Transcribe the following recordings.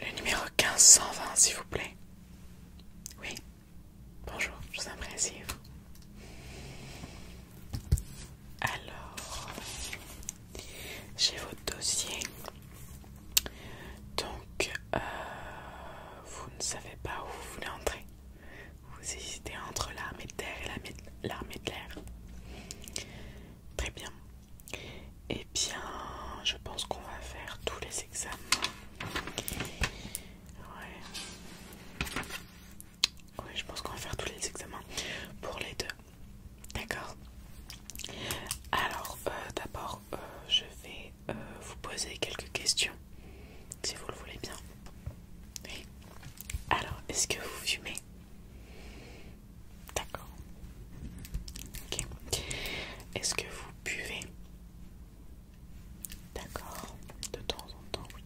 Le numéro 1520, s'il vous plaît. Oui. Bonjour, je vous apprécie. Alors, j'ai votre dossier. Donc, euh, vous ne savez pas où vous voulez entrer. Vous hésitez entre l'armée de terre et l'armée de l'air. Très bien. Eh bien, je pense qu'on va faire tous les examens. Ouais. Oui, je pense qu'on va faire tous les examens pour les deux. D'accord Alors, euh, d'abord, euh, je vais euh, vous poser quelques questions, si vous le voulez bien. Oui. Alors, est-ce que vous fumez D'accord. Ok. Est-ce que vous buvez D'accord. De temps en temps, oui.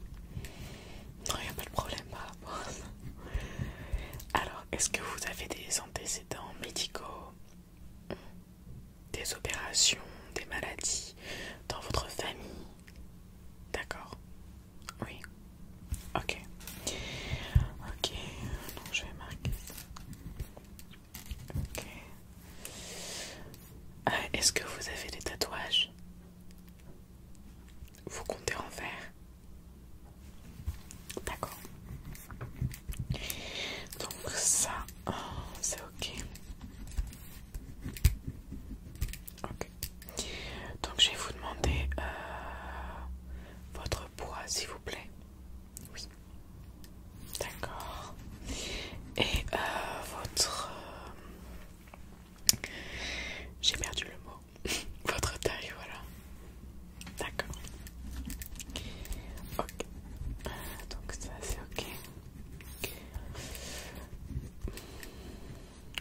Non, il n'y a pas de problème par Alors, est-ce que vous avez des antécédents médicaux Des opérations, des maladies dans votre famille D'accord. Oui. Ok. Ok. Donc je vais marquer ça. Ok. Euh, est-ce que vous avez des tatouages Vous comptez en faire D'accord. Donc ça, oh, c'est ok. Ok. Donc je vais vous demander euh, votre poids, s'il vous plaît. Oui. D'accord. Et euh, votre... Euh, j'ai perdu le mot. votre taille, voilà. D'accord. Ok. Donc ça c'est ok.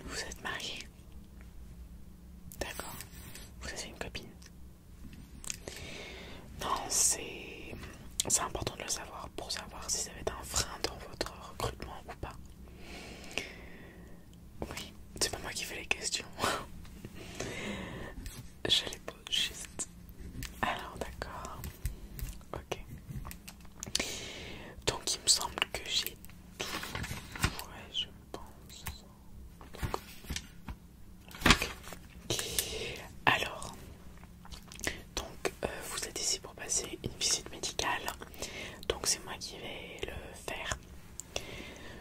Vous êtes marié D'accord. Vous avez une copine Non, c'est c'est important de le savoir pour savoir si ça va être un frein dans votre recrutement ou pas. Oui, c'est pas moi qui fais les questions. Je les pose juste. Alors, d'accord. Ok. Donc, il me semble que j'ai Ouais, je pense. Alors, donc euh, vous êtes ici pour passer une visite médicale. Donc c'est moi qui vais le faire.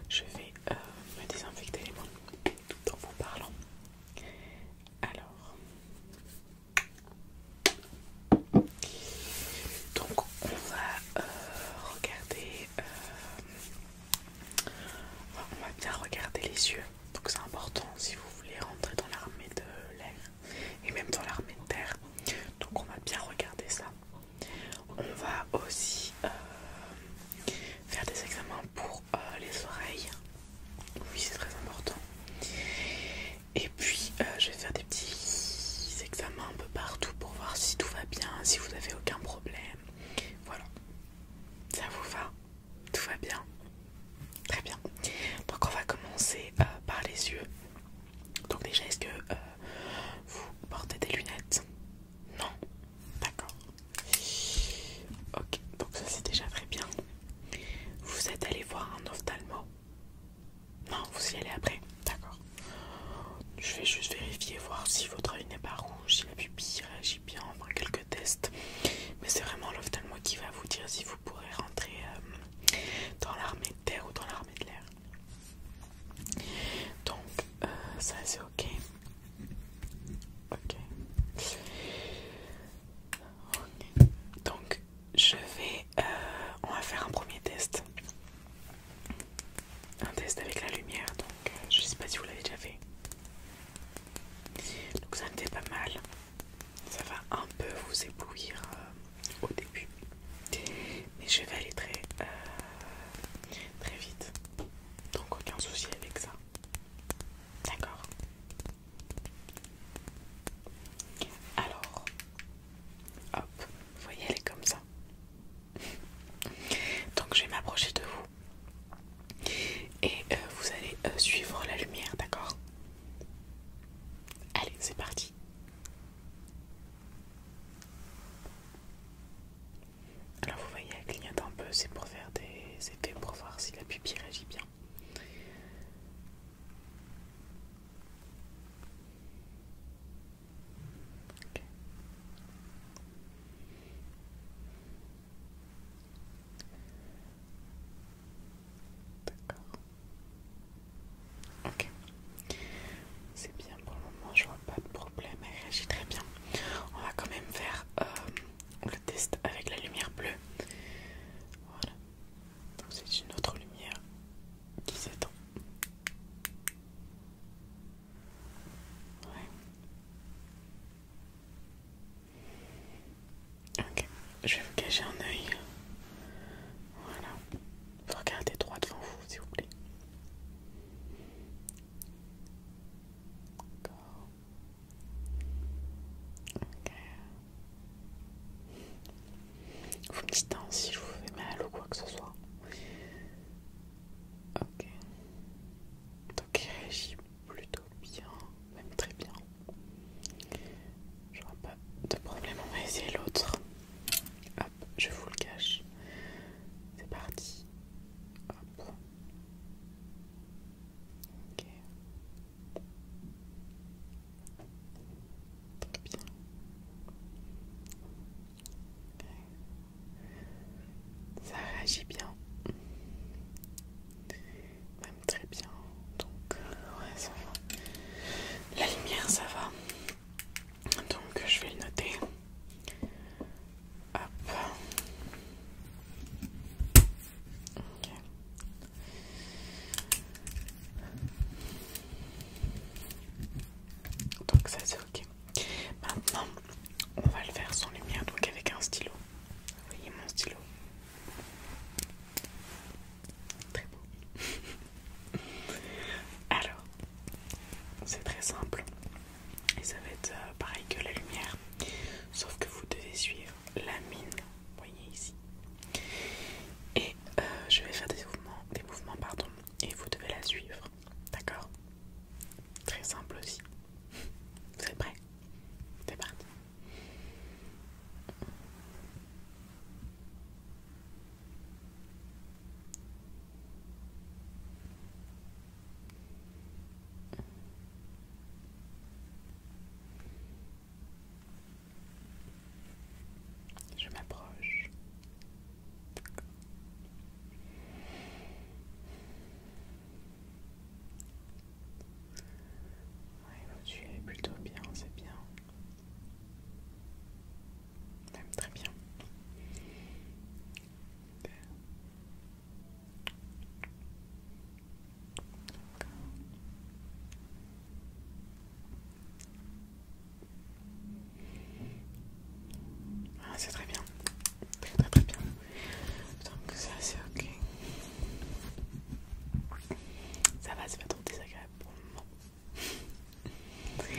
Je vais euh, me désinfecter les mains tout en vous parlant. Alors, donc on va euh, regarder, euh, on va bien regarder les yeux. Donc c'est important si vous voulez rentrer dans l'armée de l'air et même dans l'armée de terre. Donc on va bien regarder ça. On va aussi euh, faire des examens pour les oreilles. Oui c'est très important. Et puis euh, je vais faire des petits examens un peu partout pour voir si tout va bien, si vous n'avez aucun problème. Voilà. Ça vous va Tout va bien Très bien. Donc on va commencer euh, par les yeux. Donc déjà, est-ce que euh, vous portez des lunettes Non D'accord. Ok, donc ça c'est déjà très bien. Vous êtes allé voir un ophtalmo non, vous y allez après, d'accord. Je vais juste vérifier, voir si votre œil n'est pas rouge, si la pupille réagit bien, faire quelques tests. Mais c'est vraiment l'ophtalmo qui va vous dire si vous pourrez rentrer euh, dans l'armée de terre ou dans l'armée de l'air. Donc, euh, ça c'est ok. Ok. Ok. Donc, je vais... Euh, on va faire un premier test. Un test avec la lumière, donc euh, je sais pas si vous l'avez déjà fait. Donc ça ne fait pas mal. Ça va un peu vous éblouir euh, au début. Mais je vais aller très, très vite. Donc aucun souci avec ça. D'accord. Alors, Hop, vous voyez, elle est comme ça. Donc je vais m'approcher de vous et euh, vous allez euh, suivre la lumière, d'accord Allez, c'est parti. Alors vous voyez, elle clignote un peu, c'est pour faire des effets pour voir si la pupille réagit bien. D'accord. Ok. C'est bien pour le moment, je vois pas de problème, elle réagit très bien. On va quand même faire euh, le test avec la lumière bleue. Voilà. Donc c'est une autre lumière qui s'étend. Ok, je vais vous cacher un œil. Voilà. regardez droit devant vous, s'il vous plaît. Vous me dites hein, si je vous fais mal ou quoi que ce soit. Ok. Donc il réagit plutôt bien, même très bien. vois pas de problème, on va essayer l'autre. Hop, je vous le cache. C'est parti. Hop. Ok. Ça réagit bien. Même très bien. Donc, euh, ouais, La lumière, ça va. Donc, je vais le noter. Hop. Ok. Donc ça c'est ok. Maintenant on va le faire sans lumière, donc avec un stylo. voyez mon stylo Très beau. Alors, c'est très simple. Et ça va être euh, pareil que la lumière. Sauf que vous devez suivre la mine voyez ici. Et euh, je vais faire des mouvements, des mouvements pardon, et vous devez la suivre. D'accord Très simple aussi. Vous êtes prêts C'est parti. Je m'approche. tu es plutôt bien, c'est bien. Même très bien. Ah, c'est très bien. Très très très bien. Donc ça c'est ok. Ça va, c'est pas trop désagréable pour le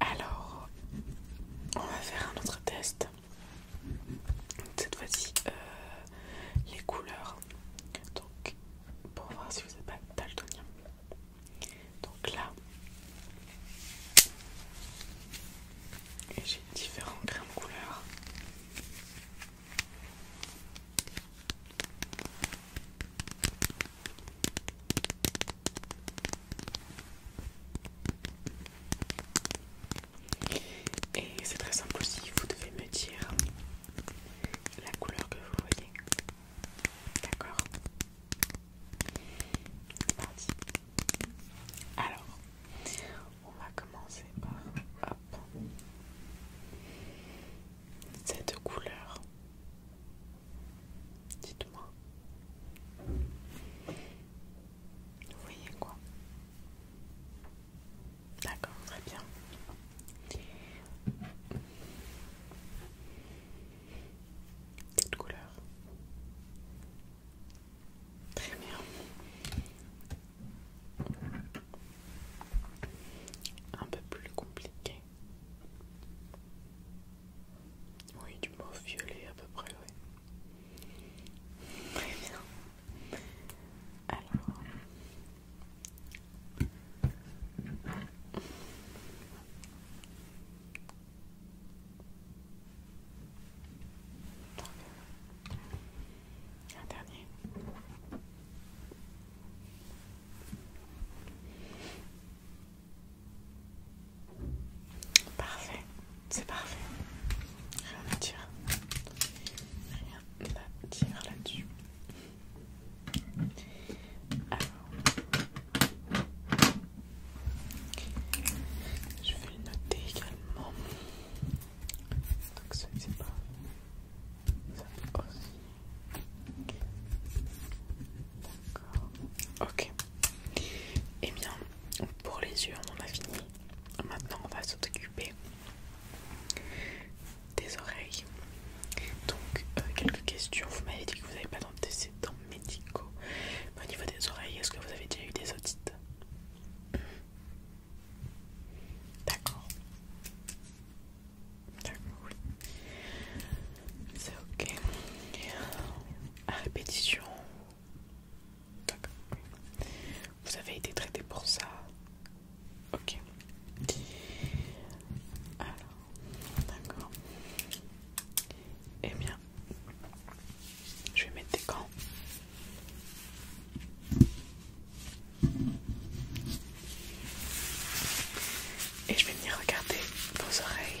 Alors, on va faire un autre test. Cette fois-ci, euh, les couleurs. Donc, pour voir si vous n'êtes pas daltonien. Donc là, j'ai différents grains de couleur. Et c'est très simple aussi, vous devez me dire la couleur que vous voyez. D'accord parti. Alors, on va commencer par cette couleur. Dites-moi. Vous voyez quoi D'accord, très bien. Cette couleur. Très bien. Un peu plus compliqué. Oui, du mauve violet à peu près, oui. Très bien. Alors, un dernier. Parfait, c'est parfait. Rien à dire. Rien à dire là-dessus. Alors, je vais le noter également. Donc ça c'est pas ça aussi. D'accord. Ok. Eh bien, pour les yeux, on en a fini. Maintenant, on va s'occuper des oreilles. Donc, euh, quelques questions. Vous m'avez dit que vous n'avez pas d'antécédents médicaux. au niveau des oreilles, est-ce que vous avez déjà eu des otites D'accord. D'accord, oui. C'est ok. Euh, à répétition. D'accord, vous avez été traité pour ça. Ok. Alors, d'accord. Eh bien, je vais mettre des camps. Et je vais venir regarder vos oreilles.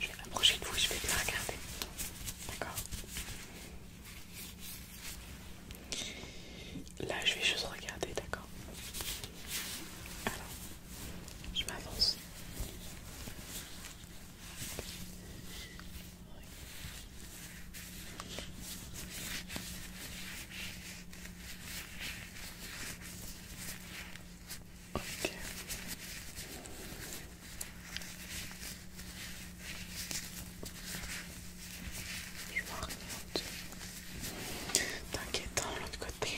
Je vais m'approcher de vous, je vais te regarder. D'accord Là, je vais juste regarder, d'accord Alors, je m'avance. Ok. Je m'oriente. T'inquiète, de hein, l'autre côté.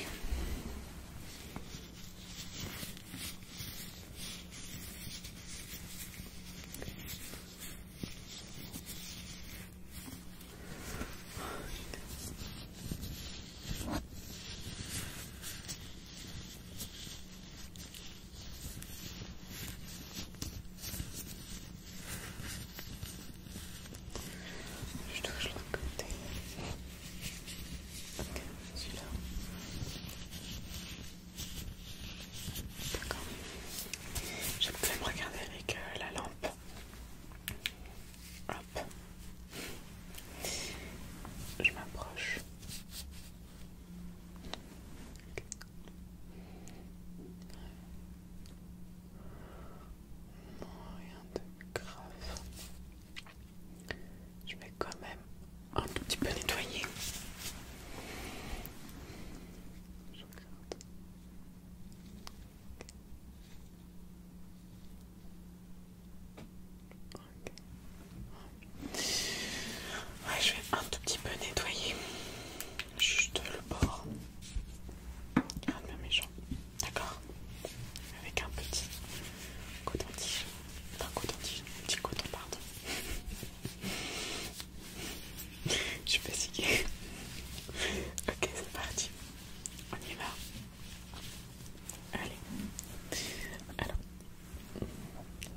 Je touche l'autre côté. Ok, là D'accord. Je vais me regarder avec euh, la lampe. Hop. Je m'approche. Non, rien de grave. Je vais quand même un tout petit peu nettoyer. Je regarde je vais un tout petit peu nettoyer juste le bord Regarde bien mes jambes, d'accord Avec un petit coton-tige, un coton-tige, un petit coton, pardon. je suis fatiguée. ok, c'est parti. On y va. Allez. Alors,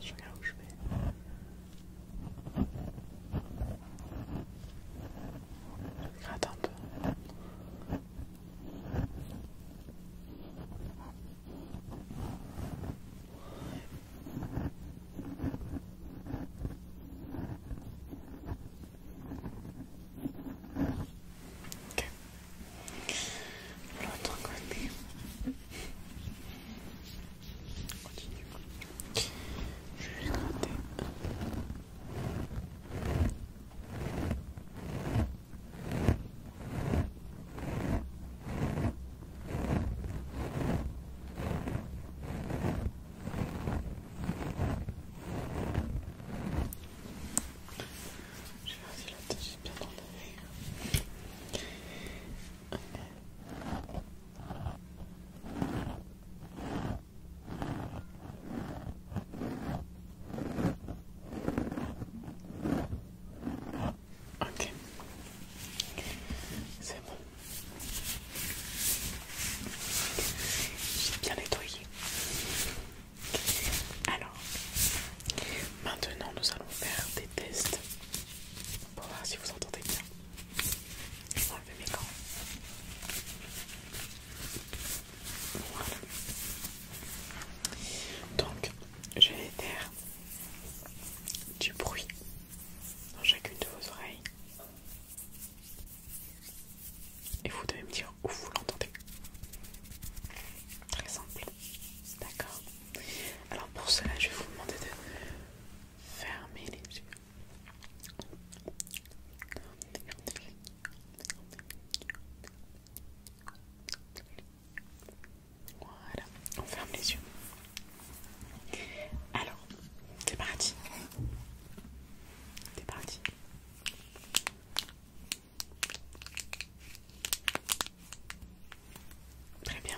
je regarde où je vais. Je gratte un peu. Okay. L'autre Continue. Je vais gratter. Je vais aussi la tâcher bien dans Ok, c'est bon. J'ai bien nettoyé. Alors, maintenant nous allons faire des tests pour voir si vous entendez bien. enlever mes gants. Voilà. Donc, je vais faire du bruit dans chacune de vos oreilles. Et vous devez me dire où vous l'entendez. Très simple. D'accord. Alors pour cela, je vais vous demander de fermer les yeux. Voilà, on ferme les yeux. Alors, c'est parti. C'est parti. Très bien. Très bien.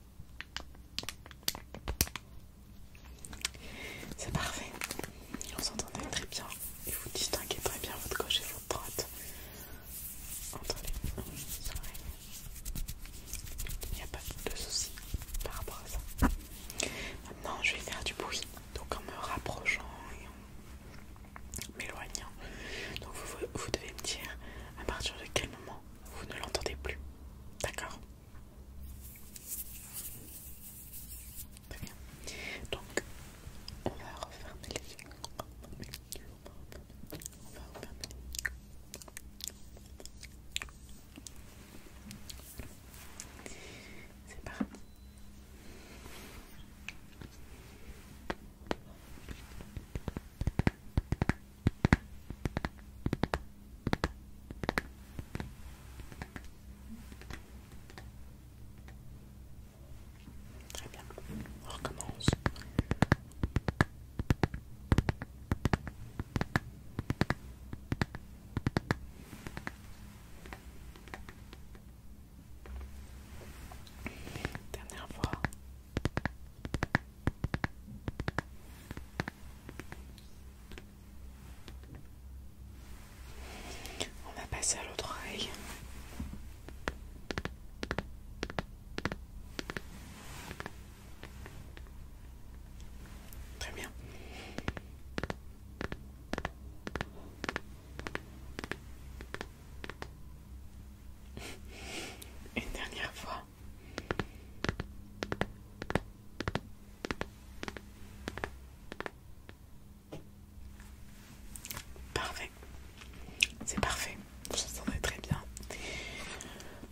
C'est parfait. On s'entendait très bien. Et vous distinguez très bien votre gauche et votre droite. Entre les oreilles. Il n'y a pas de souci par rapport à ça. Maintenant, je vais faire du bruit. Donc en me rapprochant et en m'éloignant donc vous, devez me dire à partir de quel moment vous ne l'entendez plus. D'accord Très bien. Donc on va refermer les yeux. On va refermer les yeux. C'est parti. Très bien, on recommence. Dernière fois, on va passer à l'autre oreille. Très bien. Une dernière fois. Parfait. C'est parfait. Je sens très bien.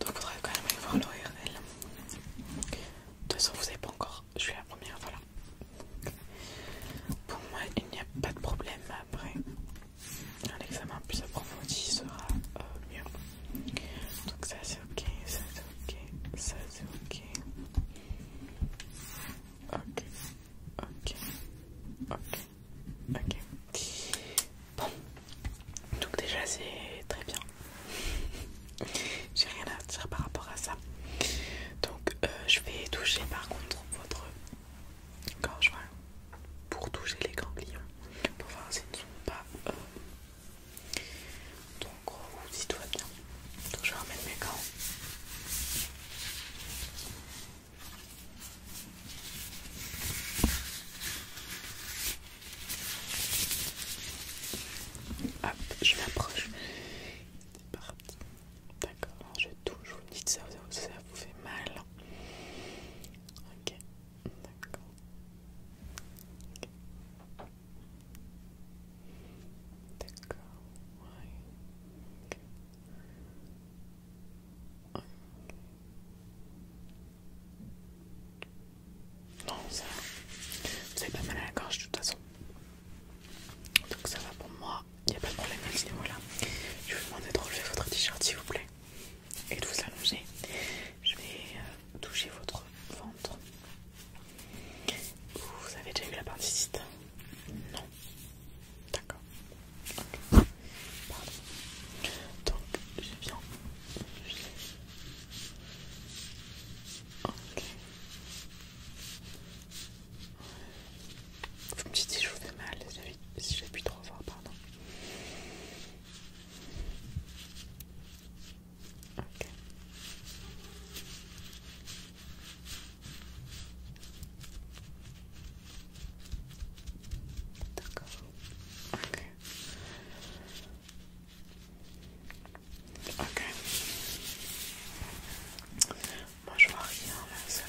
Donc, on faudrait quand même aller voir l'ORL. De toute façon, vous n'avez pas encore. Je suis la première, voilà. Pour moi, il n'y a pas de problème après un examen plus approfondi sera euh, mieux. Donc ça c'est ok, ça c'est ok, ça c'est ok. Ok, ok, ok, ok. Bon, donc déjà c'est très bien. J'ai rien à dire par rapport à ça. Donc euh, je vais toucher par contre votre quand je vois pour toucher les ganglions pour voir si ne sont pas euh, donc ou si tout va bien je vais ramener mes gants Hop, je m'approche. C'est parti. D'accord, je vais touche. Vous me dites ça, ça, ça vous fait mal. Ok, d'accord. D'accord, ouais. ok, ok, Non, ça va. Vous avez pas mal à la gorge de toute façon. Donc ça va pour moi il n'y a pas de problème à ce niveau-là. Je vais vous demander de relever votre t-shirt s'il vous plaît et de vous allonger. Je vais euh, toucher votre ventre. Vous avez déjà eu la appendicite Non. D'accord. Pardon. Donc, je viens. Ok. Vous me dites si je vous fais mal si j'appuie trop fort, pardon. D'accord. Ok. Ok. Moi je vois rien là, ça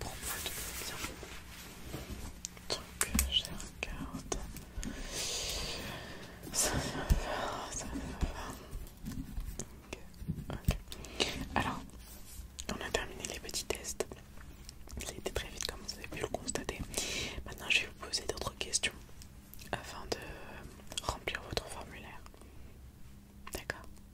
Pour moi tout va Donc euh, je regarde. Ça ça euh, ok. Alors, on a terminé les petits tests. Ça a été très vite comme vous avez pu le constater. Maintenant je vais vous poser d'autres questions afin de remplir votre formulaire. D'accord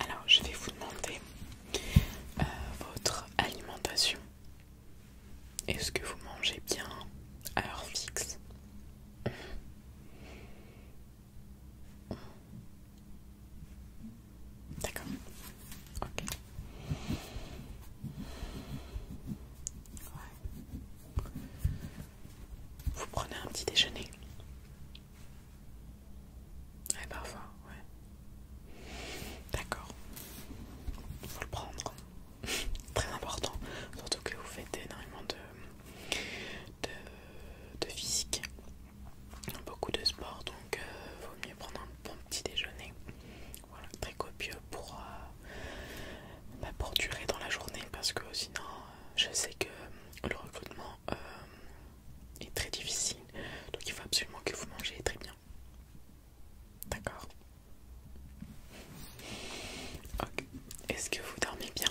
Alors, je vais vous demander euh, votre alimentation. Est-ce que vous mangez bien à heure fixe D'accord. Ok. Ouais. Vous prenez un petit déjeuner parfois, ouais. D'accord. Faut le prendre. Très important. Surtout que vous faites énormément de, de, de physique beaucoup de sport donc euh, vaut mieux prendre un bon petit déjeuner voilà très copieux pour euh, bah, pour durer dans la journée parce que sinon euh, je sais que le recrutement est très difficile donc il faut absolument que vous mangez très bien d'accord Ok. est-ce que vous dormez bien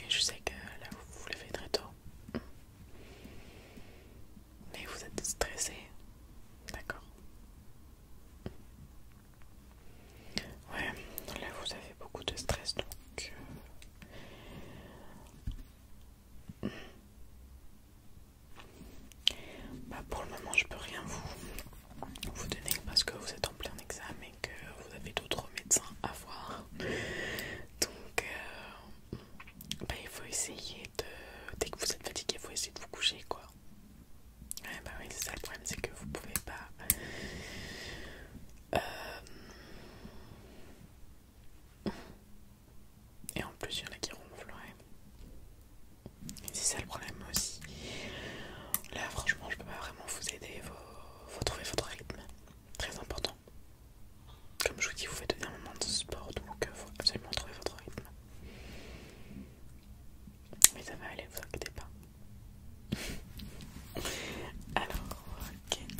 et je sais que là vous vous levez très tôt. Mais vous êtes stressé. D'accord. Ouais, là vous avez beaucoup de stress donc... Euh, bah pour le moment je peux rien vous, vous donner parce que vous êtes en plein examen et que vous avez d'autres médecins à voir. Donc, euh, bah, il faut essayer de. Dès que vous êtes fatigué, il faut essayer de vous coucher, quoi. bah oui, c'est ça le problème, c'est que vous pouvez pas. Euh, et en plus, il y en a qui ronflent, ouais. C'est ça le problème aussi. Là, franchement, je peux pas vraiment vous aider. vous faut trouver votre rythme. Très important. Comme je vous dis, vous faites un moment de sport, donc il euh, faut absolument trouver votre rythme. Mais ça va aller, vous inquiétez pas. Alors, ok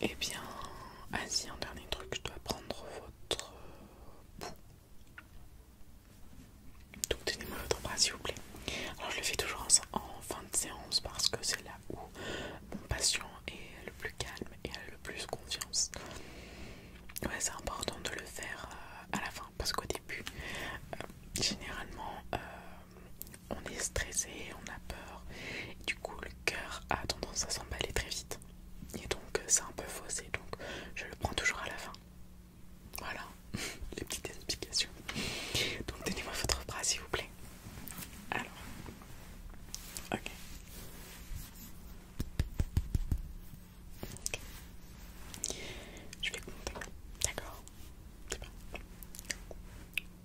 et eh bien, ah un dernier truc, je dois prendre votre euh, bout Donc tenez-moi votre bras s'il vous plaît. Alors je le fais toujours en, fin de séance parce que c'est là où mon patient est le plus calme et a le plus confiance. Ouais, c'est important de le faire euh, à la fin parce qu'au début, euh, généralement, on est stressé, on a peur, du coup, le cœur a tendance à s'emballer très vite et donc euh, c'est un peu faussé donc je le prends toujours à la fin voilà les petites explications donc donnez moi votre bras s'il vous plaît alors ok Je vais compter. D'accord. C'est bon.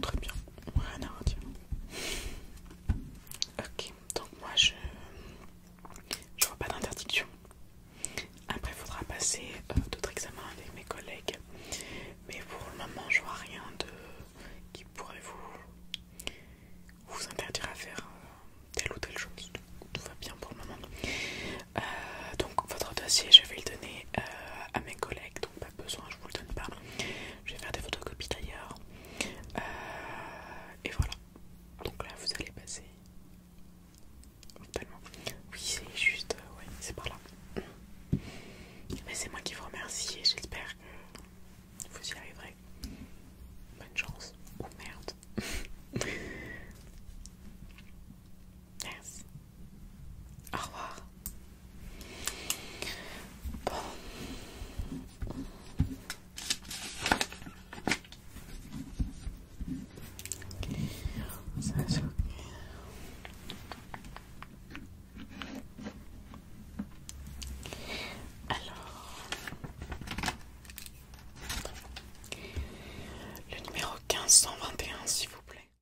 très bien, rien à redire. Ok, donc moi je. Je vois pas d'interdiction. Après, il faudra passer euh, d'autres examens avec mes collègues. Mais pour le moment, je vois rien de qui pourrait vous, vous interdire à faire euh, telle ou telle chose. Tout va bien pour le moment. Euh, donc, votre dossier, je vais le donner à mes collègues pas besoin, je vous le donne pas. Je vais faire des photocopies d'ailleurs. Euh, et voilà. Donc là, vous allez passer. Oui, c'est juste. Euh, ouais, c'est par là. Mais c'est moi qui vous remercie et j'espère que vous y arriverez. Bonne chance. Oh merde. Au revoir. Bon. Ça va se alors, le numéro un s'il vous plaît.